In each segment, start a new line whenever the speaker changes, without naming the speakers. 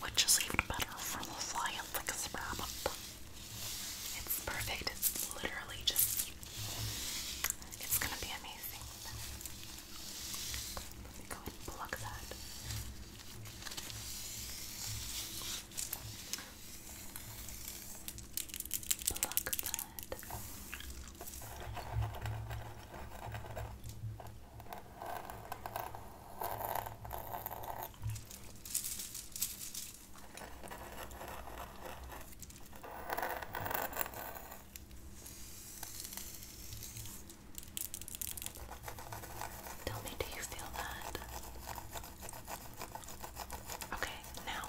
which is even better for the fly up like a It's perfect. It's literally just. It's gonna be amazing. let me go and plug that. Plug that. Tell me, do you feel that? Okay, now.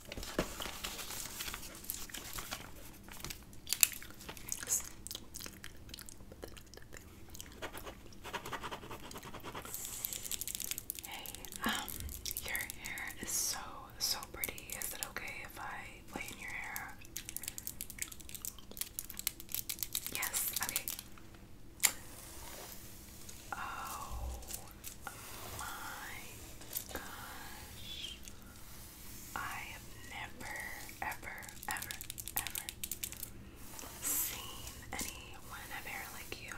Hey, um, your hair is so, so pretty. Is it okay if I play in your hair? Yes, okay. Oh, Oh my gosh. I have never, ever, ever, ever seen anyone have hair like you.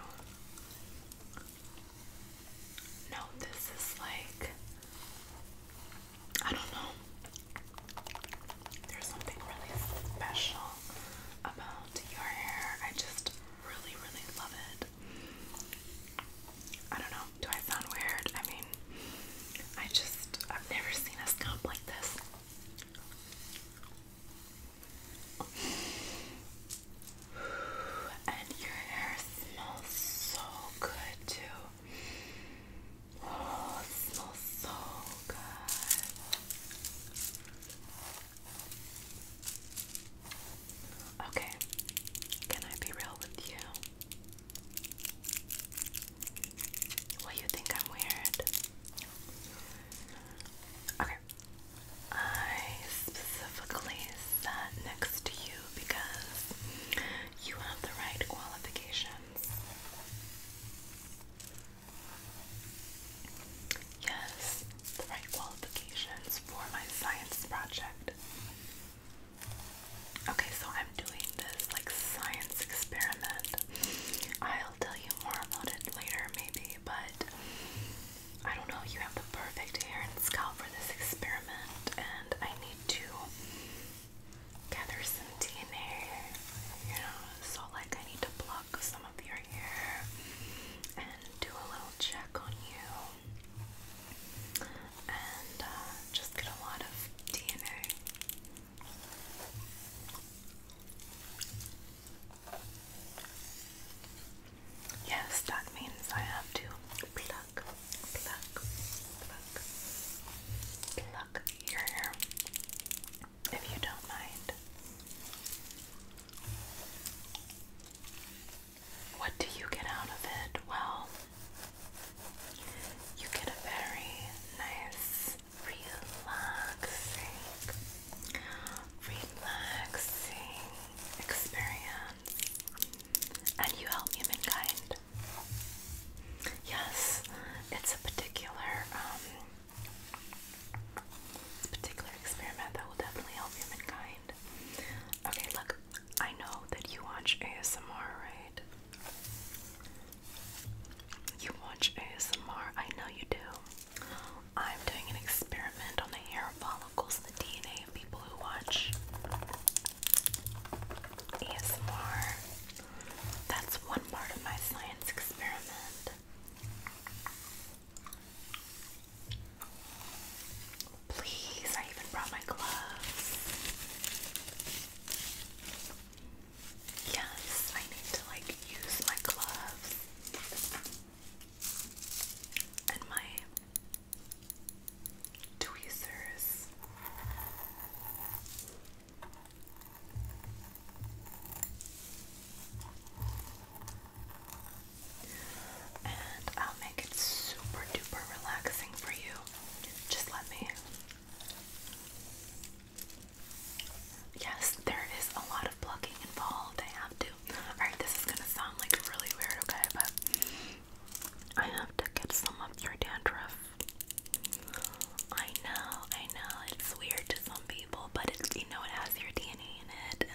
No, this is like, I don't know. There's something really special about your hair. I just really, really love it. I don't know. Do I sound weird? I mean, I just, I've never seen a scum like this. And your hair smells so good, too. Oh, smells so good. Okay, can I be real with you? Well, you think I'm weird. Okay, I specifically sat next to you because you have the right qualifications. Yes, the right qualifications for my science project. Okay, so I'm doing this like science experiment. I'll tell you more about it later, maybe, but I don't know. You have the perfect hair and scalp for this experiment, and I need to gather some DNA, you know. So, like, I need to pluck some of your hair and do a little check on you and uh, just get a lot of DNA. Yes, that means I have to plug, plug, plug, pluck your hair if you don't mind. What do you get out of it? Well, you get a very nice, relaxing, relaxing experience. And you help humankind. Yes, it's a particular, it's um, a particular experiment that will definitely help humankind. Okay, look, I know that you watch ASMR, right? You watch ASMR, I know you do. I'm doing an experiment on the hair follicles, the DNA of people who watch ASMR. That's one part of my science experiment. Please, I even brought my gloves. Yes, I need to like use my gloves and my tweezers and I'll make it super duper relaxing for you. Just let me. Yes, there is a lot of plucking involved. I have to. Alright, this is gonna sound like really weird, okay? But I have to get some of your dandruff. I know, I know, it's weird to some people, but you know, it has your DNA in it,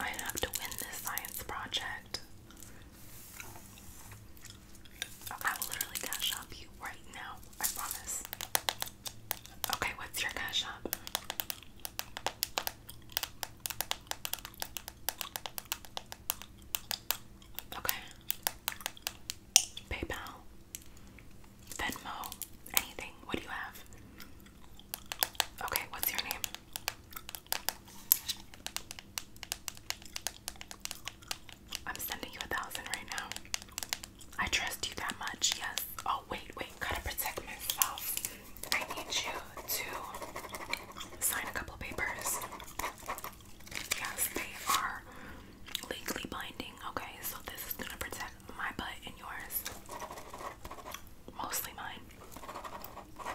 I have to win this science project. I will literally cash up you right now. I promise. Okay, what's your cash up? Okay. PayPal, Venmo, anything. What do you have? Okay, what's your name? I'm sending you a thousand right now. I trust you that much, yes. Oh, wait, wait, gotta protect myself. I need you to sign a couple papers. Yes, they are legally binding, okay? So this is gonna protect my butt and yours. Mostly mine.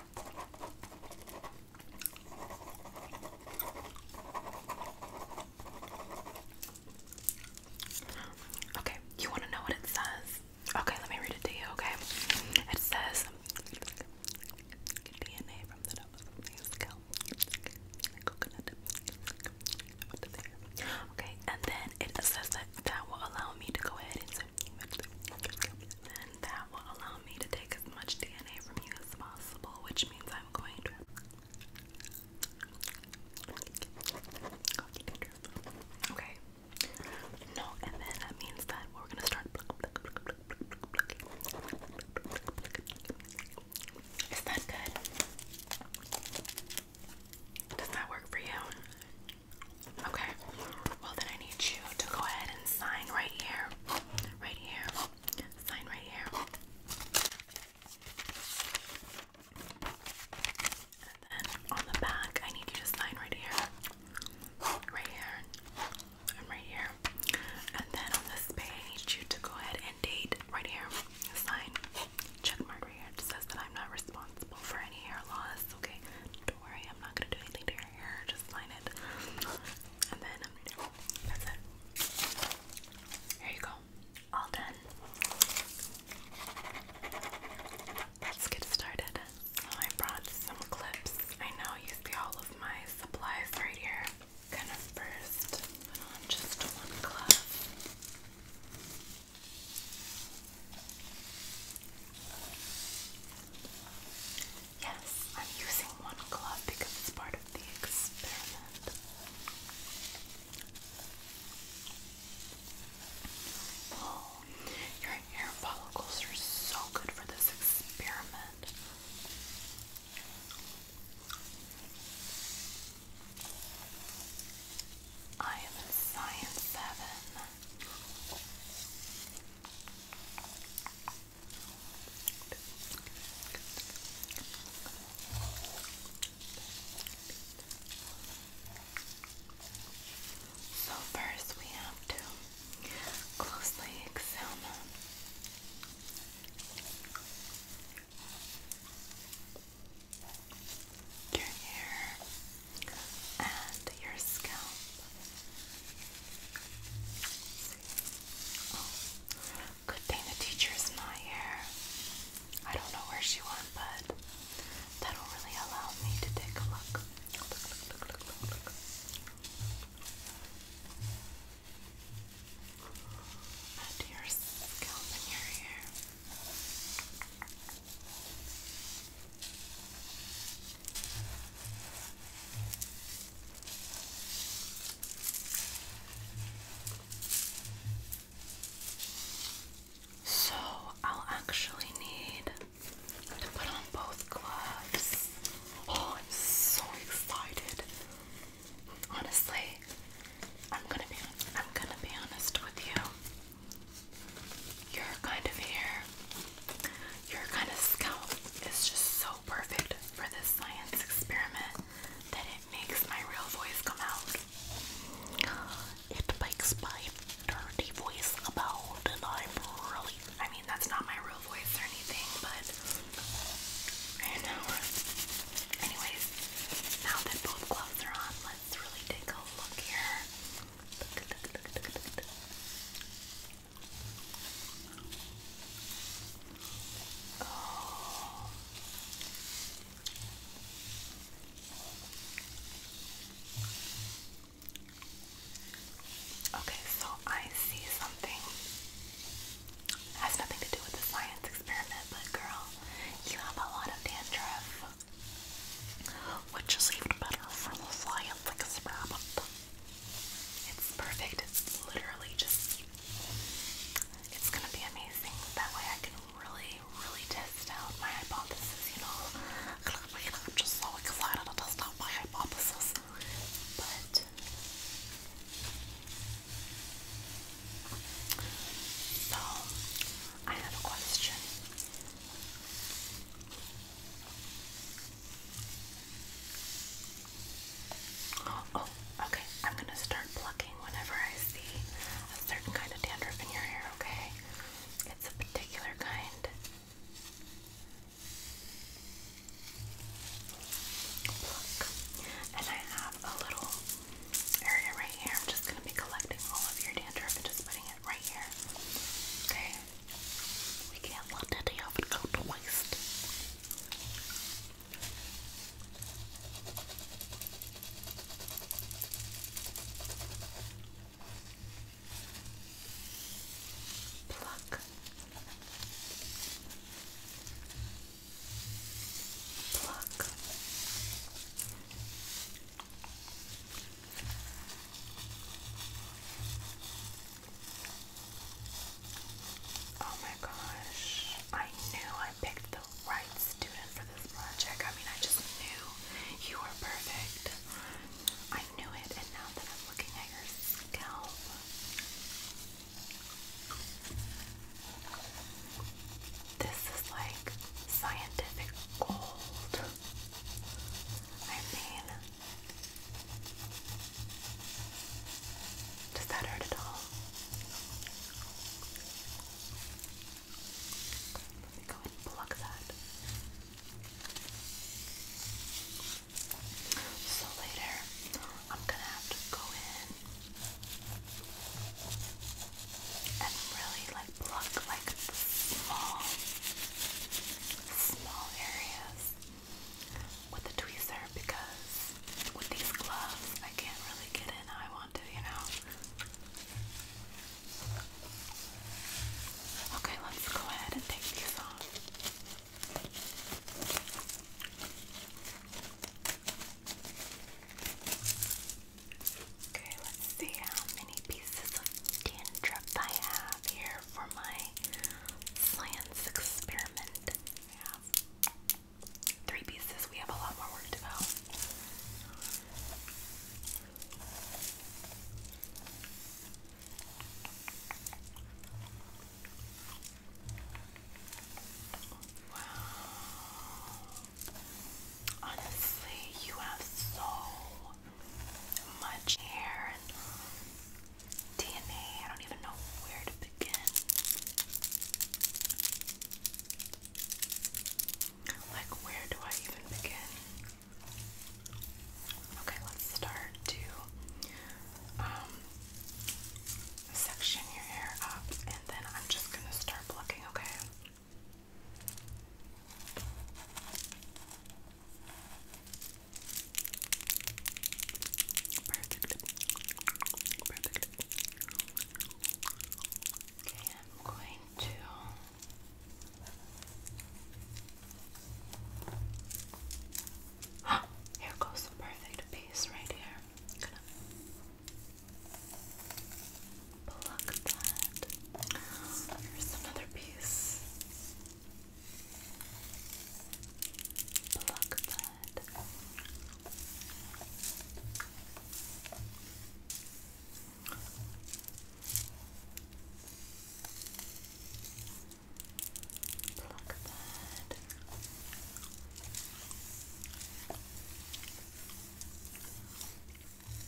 Okay, you want to know what it says? Okay, let me read it to you, okay? It says DNA from the Coconut. Okay, and then it says that that will allow me to go ahead and and that will allow me to take as much DNA from you as possible, which means I'm going to Okay. No, and then that means that we're gonna start Is that good? Does that work for you? Okay. Well, then I need you to go ahead and sign right here. Right here. Sign right here. And then on the back, I need you to sign right here. Right here. And right here. And then on this page, I need you to go ahead and date right here. Sign. Check mark right here. It says that I'm not responsible for any hair loss. Okay gonna do anything to your hair. Just line it, and then um, that's it. Here you go. All done. Let's get started. Oh, I brought some clips. I now use all of my supplies right here. Gonna first on just one glove. Yes, I'm using one glove because it's part of the experiment. Oh, your hair follicles are so good for this experiment. I am in science seven. So first we have to closely examine your hair and your scalp. Oh, good thing the teacher is not here. I don't know where she went, but that'll really allow me to take a look. Look, look, look, look, look, look. At your scalp and your hair. So I'll actually need to put on both gloves. Oh, I'm so excited. Honestly, I'm gonna be I'm gonna be honest with you. Your kind of hair, your kind of scalp is just so perfect for this science experiment that it makes my real voice come out. It makes my dirty voice about out, and I'm really. I mean, that's not my real voice or anything, but Anyways, now that both gloves are on, let's really take a look here. Oh. Okay, so I see something. has nothing to do with the science experiment, but girl, you have a lot of dandruff which is even better for the fly up like a rabbit. It's perfect. It's literally just it's gonna be amazing. That way I can really, really test out my hypothesis, you know. I'm just so excited to test my hypothesis. But so I have a question. Oh, okay. I'm going to start plucking whenever I see a certain kind of dandruff in your hair, okay? It's a particular kind. Pluck. And I have a little area right here. I'm just going to be collecting all of your dandruff and just putting it right here. Okay? We can't let that oven go to waste. Pluck. Pluck. Oh my gosh, I knew I picked the right student for this project. I mean, I just knew you were perfect. I knew it, and now that I'm looking at your scalp. This is like scientific gold. I mean, does that hurt at all? Let me go and plug that. So later, I'm gonna have to go in and really like pluck like small, small areas with the tweezer because with these gloves I can't really get in how I want to, you know. Okay, let's go ahead and take these off. Okay, let's see how many pieces of dandruff I have here for my science experiment. three pieces. We have a lot more work to go. Honestly, you have so much hair and DNA. I don't even know where to begin. Like, where do I even begin? Okay, let's start to um, section your hair up, and then I'm just gonna start plucking, okay? Perfect. Okay, I'm going to here goes the perfect piece right here pluck that. Here's another piece. Pluck that. Pluck that black pad.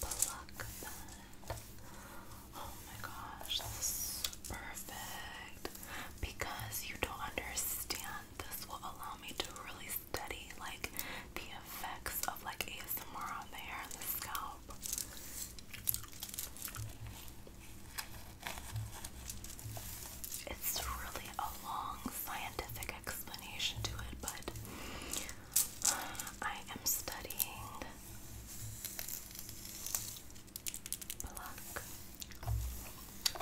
Black pad. Oh my gosh, this is perfect. Because you don't understand, this will allow me to really study like the effects of like ASMR on the hair and the scalp. It's really a long scientific explanation to it, but I am studying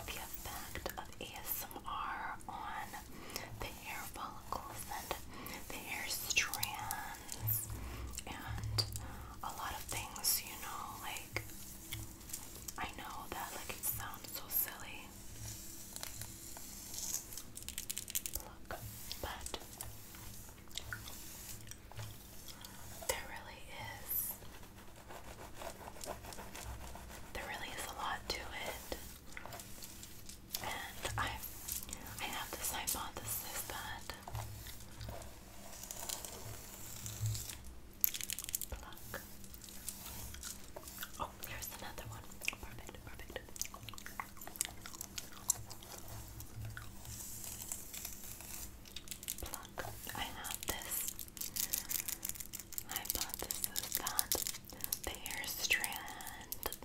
the effect of ASMR on the hair follicles and the hair strands hands and a lot of things, you know, like I know that like it sounds so silly. Look, but there really is there really is a lot to it. And I I have this hypothesis that Pluck. Oh, here's another one. Perfect, perfect. I love this. I bought this is that the hair strand,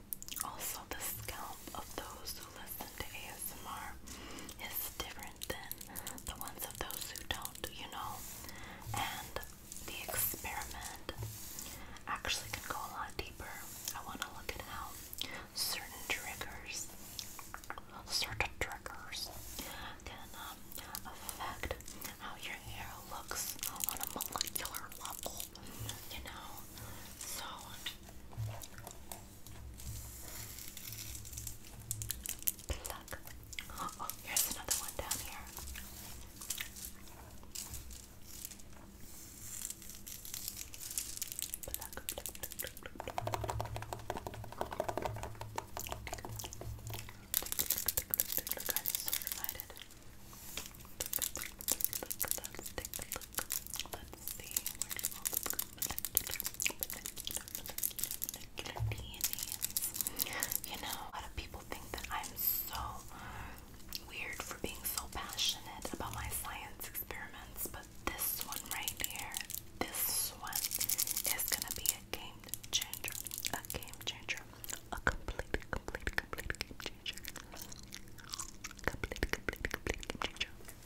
also the scalp of those who listen listen ASMR is different than the ones of those who don't, you know? And the experiment actually can go a lot deeper. I want to look at how certain triggers, certain triggers, can um, affect how your hair looks on a molecular level, you know? So, Pluck. Oh, here's another one down here. Pluck, pluck, pluck, pluck. I'm so excited. Pluck, pluck, pluck, pluck, pluck, pluck. You know, a lot of people think that I'm so weird for being so passionate about my science experiments, but this one right here, this one is gonna be a game changer, a game changer, a complete, complete, complete game changer, complete, complete, complete game changer.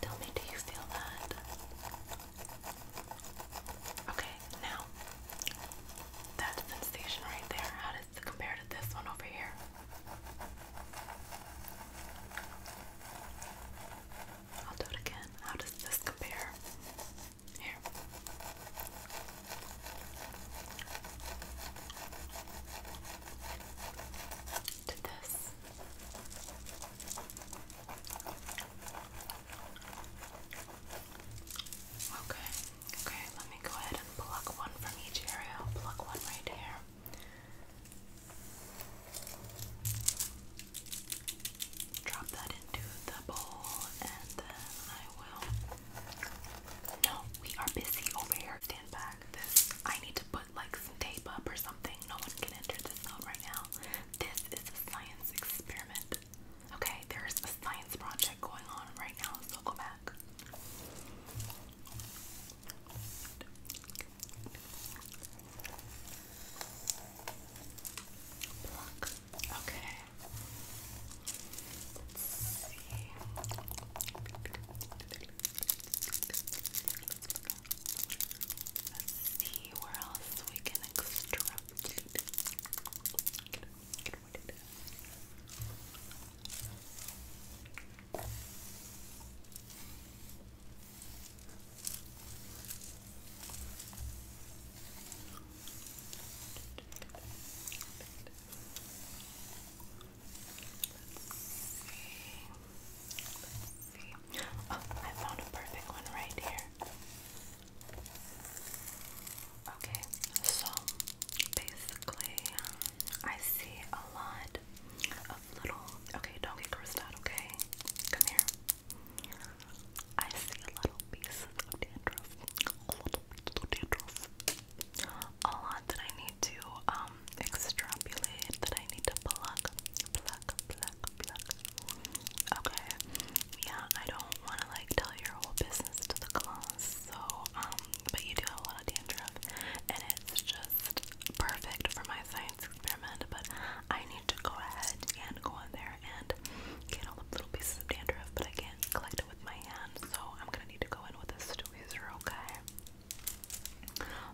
Tell me, do you feel that? Okay, now that sensation right there, how does it compare to this one over here? I'll do it again. How does this compare? Here. Okay, okay, let me go ahead and pluck one from each area. I'll pluck one right here. Drop that into the bowl, and then I no, we are busy over here. Stand back. This I need to put like some tape up or something. No one can enter this zone right now. This is a science experiment. Okay, there's a science project going on right now, so go back. Okay. Let's see. where else we can extract see. Oh, I found a perfect one right here. Okay, so basically, I see a lot of little. Okay, don't get grossed out, okay? Come here. I see little pieces of dandruff a lot that I need to um, extrapolate, that I need to pluck, pluck, pluck, pluck. Okay, yeah, I don't want to like tell your whole business to the class, so um, but you do have a dandruff, and it's just perfect for my science experiment. But I need to go ahead and go in there and get all the little pieces of dandruff, but I can't collect it with my hand, so I'm gonna need to go in with a tweezer, okay?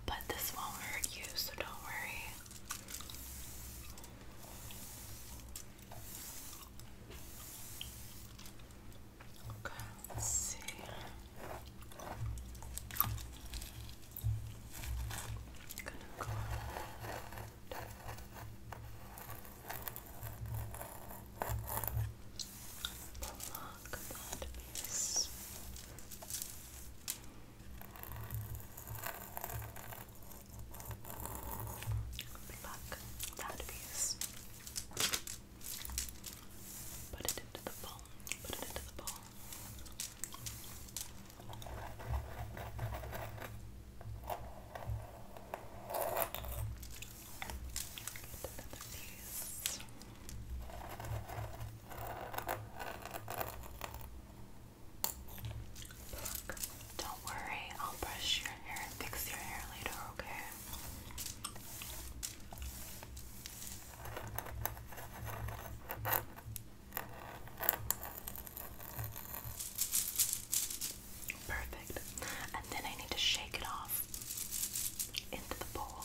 But this won't hurt you, so don't worry. Okay, let's see. I'm gonna go. Block that piece. Pluck that piece. Put it into the bowl. Put it into the bowl don't worry, I'll brush your hair and fix your hair later, okay? Perfect. And then I need to shake it off into the bowl.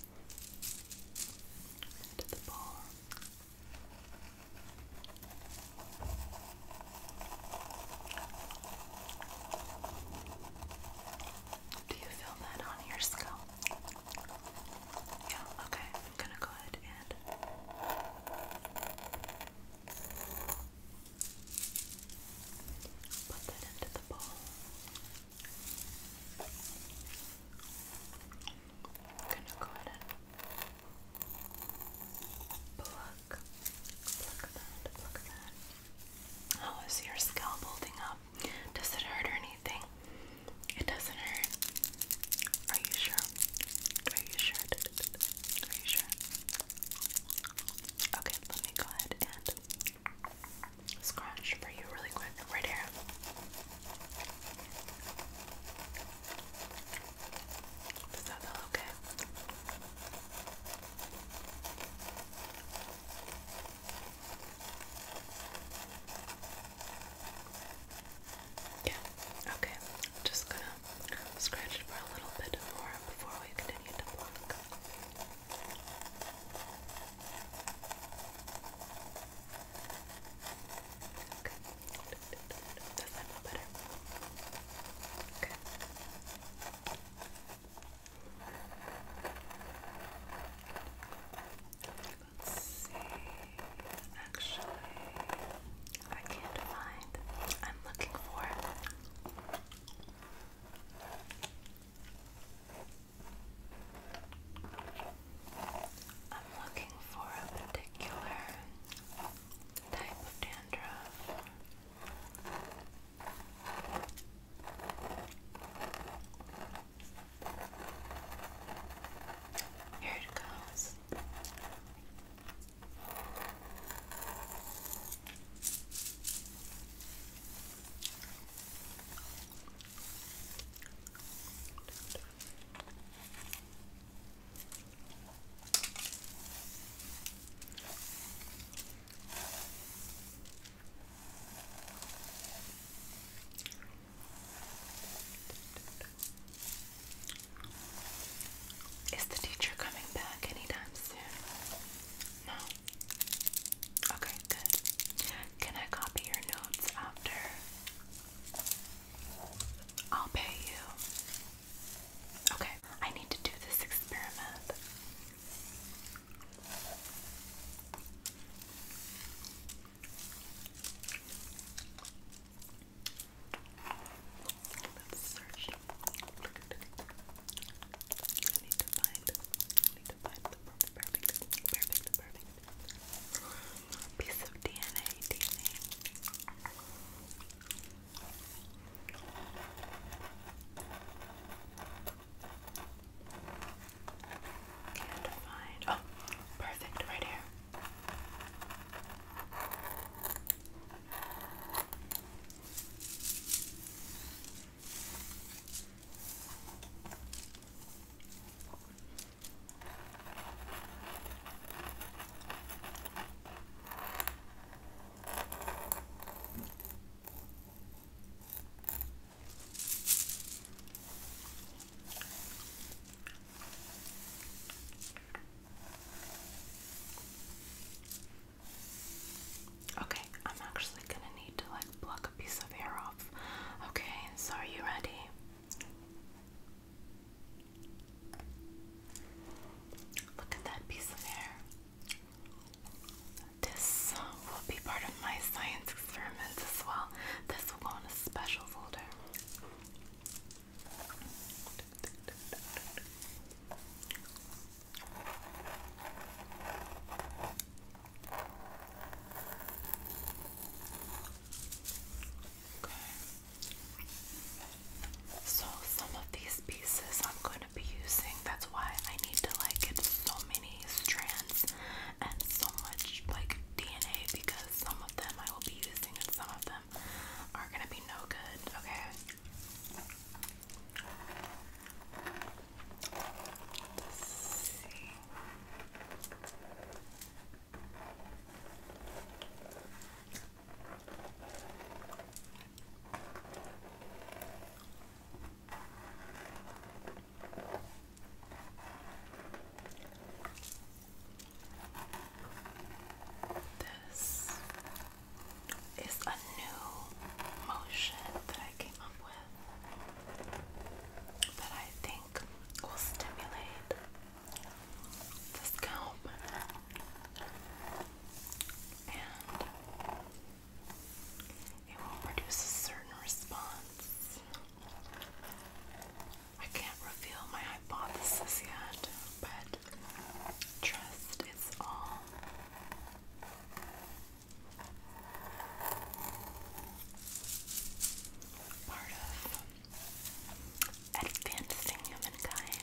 into Do you feel that on your scalp? Yeah, okay. I'm going to go ahead and put that into the bowl. I'm gonna go ahead and pluck, pluck that, pluck that. How oh, is your scalp holding up? Does it hurt or anything? It doesn't hurt. Are you sure? Are you sure? Are you sure? Okay, let me go ahead and Scratch for you really quick right here. that okay? Yeah, okay. just gonna scratch for a little bit more before we continue to pluck. Okay. Does Let's see. Actually, I can't find. I'm looking for I'm looking for a particular type of dandruff. Here it goes. Is the teacher coming back anytime soon? No. Okay, good. Can I copy your notes after? I'll pay you. Okay, I need to do this experiment. Let's search. I need to find perfect, perfect, perfect, perfect, perfect piece of DNA, DNA. Can't find. Oh, perfect, right here. Okay, I'm actually gonna need to like pluck a piece of hair off. Okay, so are you ready? Look at that piece of hair. This will be part of my science experiments as well. This will go in a special folder. Okay. So some of these pieces I'm going to be using. That's why I need to like get so many strands and so much like DNA because some of them I will be using and some of them are going to be no good. Okay. Let's This is a new motion that I came up with that I think will stimulate the scalp and it will produce a certain response. I can't reveal my hypothesis yet, but trust is all Part of advancing humankind.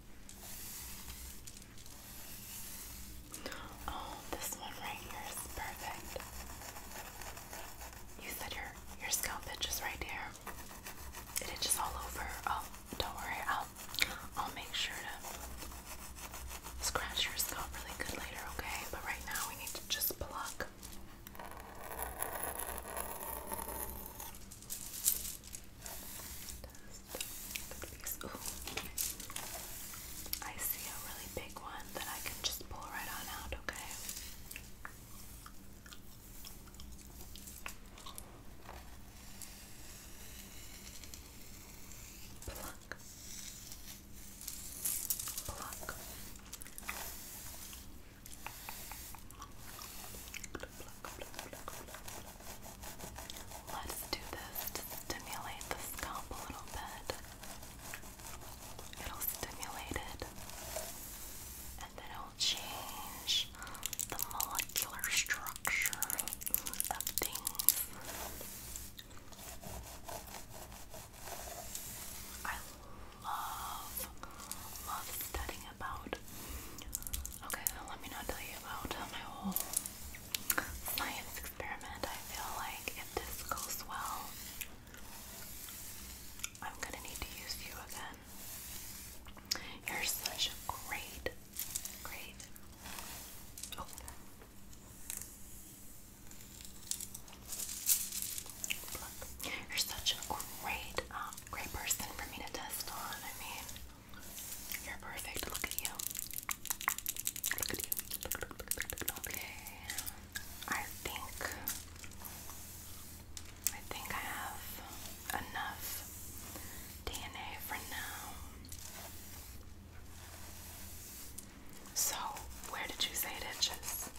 Oh, this one right here is perfect. You said your your scalp itches right here. itches all over. Oh, don't worry. I'll I'll make sure to scratch your scalp really good later, okay? But right now we need to just pluck. Ooh. I see a really big one that I can just pull right on out, okay? Pluck. Pluck. Pluck, pluck, pluck, pluck. Let's do this stimulate the scalp a little bit. It'll stimulate it, and then it'll change the molecular structure of things. I love, love studying about Okay, let me not tell you about uh, my whole science experiment. I feel like if this goes well, I'm gonna need to use you again. You're such a great, great. Oh. you're such a great, um, great person for me to test on. I mean, you're perfect. Look at you. Look at you. Okay. I think I think I have enough DNA for now. So, where did you say it itches?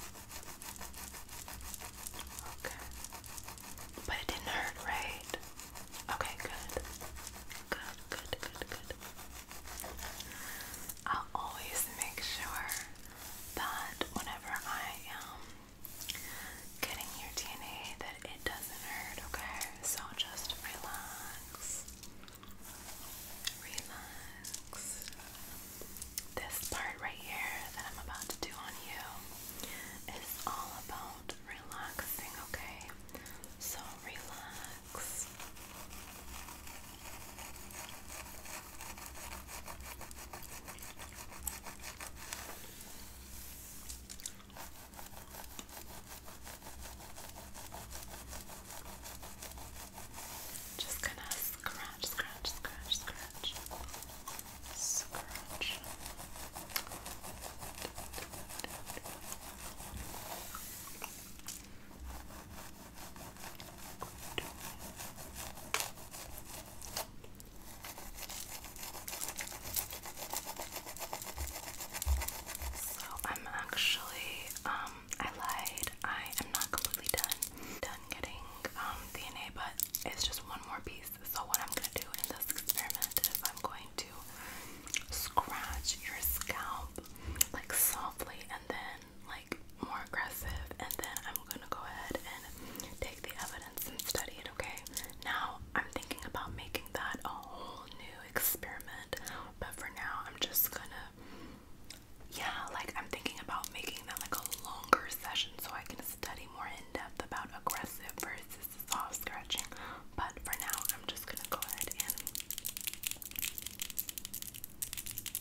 But it didn't hurt, right? Okay, good. Good, good, good, good. I'll always make sure that whenever I am um, getting your DNA that it doesn't hurt, okay? So just relax. Relax. This part right here that I'm about to do on you is all about relaxing, okay? So relax. Just gonna scratch, scratch, scratch, scratch, much. So I'm actually, um, I lied. I am not completely done, done getting um, DNA, but it's just one more piece so what I'm going to do in this experiment is I'm going to scratch your scalp like softly and then like more aggressive and then I'm going to go ahead and take the evidence and study it, okay? Now, I'm thinking about making that a whole new experiment, but for now I'm just going to yeah, like I'm thinking about making that like a longer session so I can study more in depth about aggressive versus soft scratching, but for now, I'm just gonna go ahead and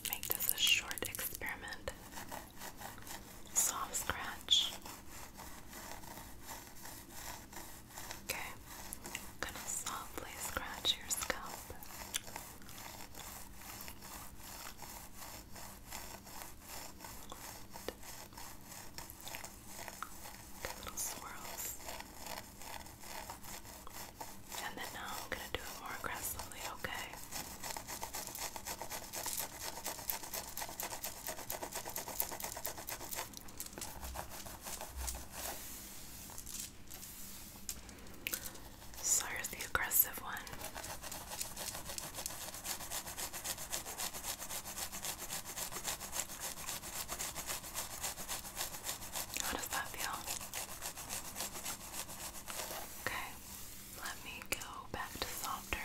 make this a short experiment. Soft scratch. Okay, gonna softly scratch your scalp the little swirls. And then now I'm gonna do it more aggressively, okay? So here's the aggressive one. How does that feel? Okay, let me go back to softer.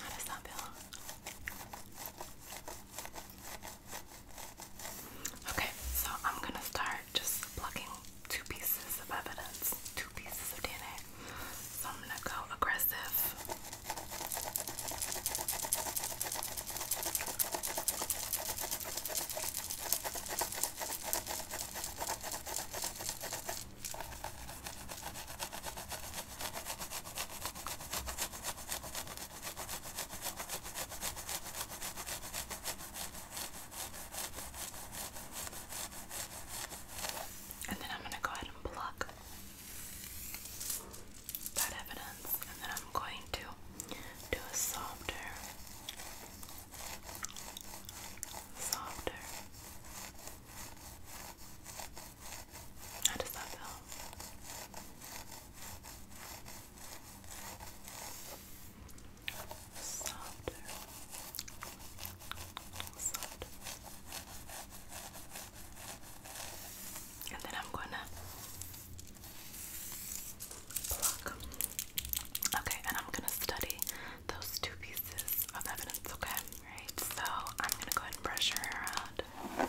How does that feel? Okay, so I'm gonna start just plucking two pieces of evidence, two pieces of DNA. So I'm gonna go aggressive. And then I'm going to go ahead and pluck that evidence, and then I'm going to do a softer, softer. How does that Softer. Softer. And then I'm gonna Okay, and I'm gonna study those two pieces of evidence, okay? Right, so I'm gonna go ahead and brush her around.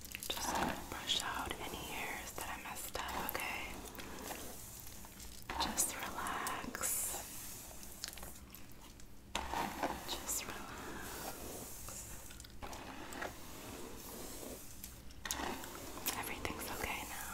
Just brush out any hairs that I messed up, okay? Just relax. Just relax. Everything's okay now.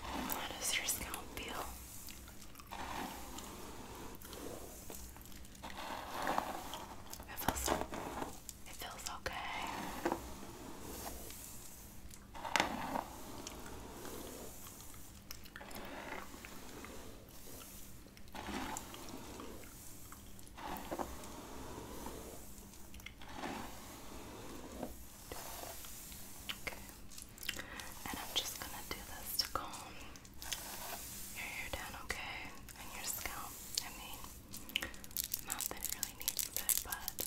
How does your scalp feel? It feels it feels okay. Okay. And I'm just gonna do this to calm your hair down, okay? And your scalp. I mean, not that it really needs it, but.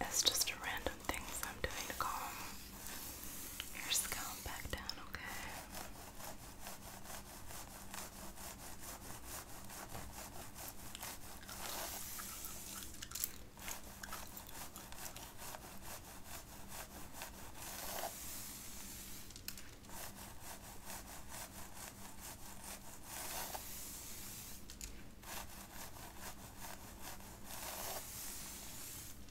It's just a random things I'm doing to calm your scalp back down, Okay.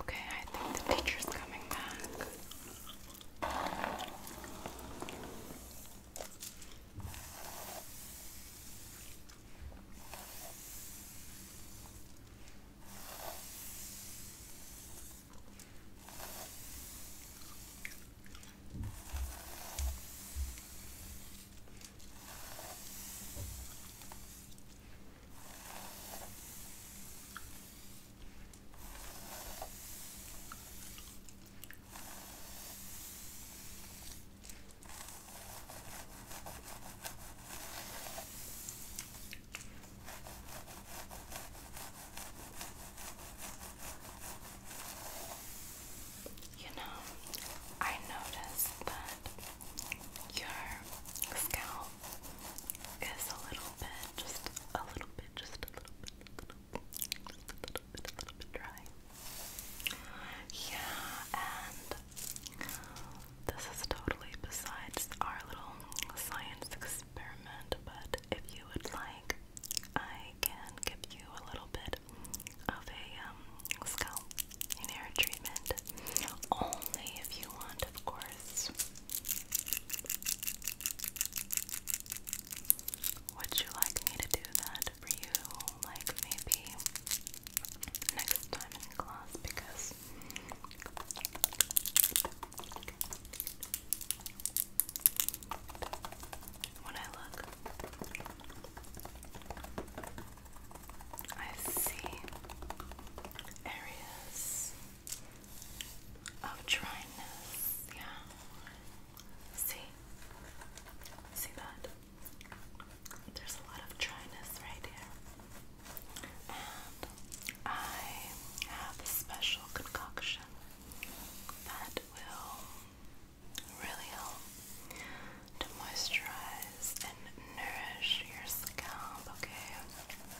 Okay, I think the teacher's coming back. You know, I noticed that your scalp is a little bit, just a little bit, just a little bit, a little bit, a little bit dry. Yeah, and this is totally besides our little science experiment, but if you would like, I can give you a little bit of a um, scalp hair treatment. Only if you want, of course. Would you like me to do that for you, like maybe next time in class? Because when I look, I see areas of dryness. Yeah. See? See that? There's a lot of dryness right here. And I have a special concoction that will really help to moisturize and nourish your scalp, okay?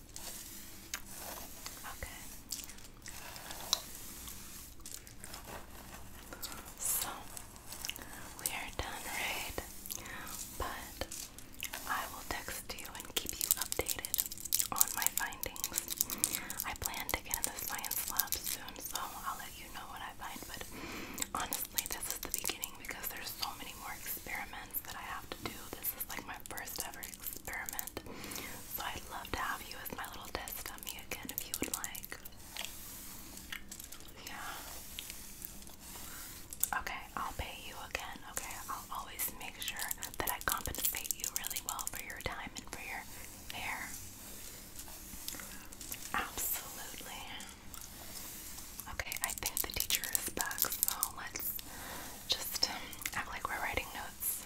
Okay. So we are done, right? But I will text you and keep you updated on my findings. I plan to get in the science lab soon, so I'll let you know what I find. But honestly, this is the beginning because there's so many more experiments that I have to do. This is like my first ever experiment. So I'd love to have you as my little test dummy again if you would like. Yeah. Okay, I'll pay you again. Okay, I'll always make sure that I compensate you really well for your time and for your hair. Absolutely. Okay, I think the teacher is back, so let's just um, act like we're writing notes.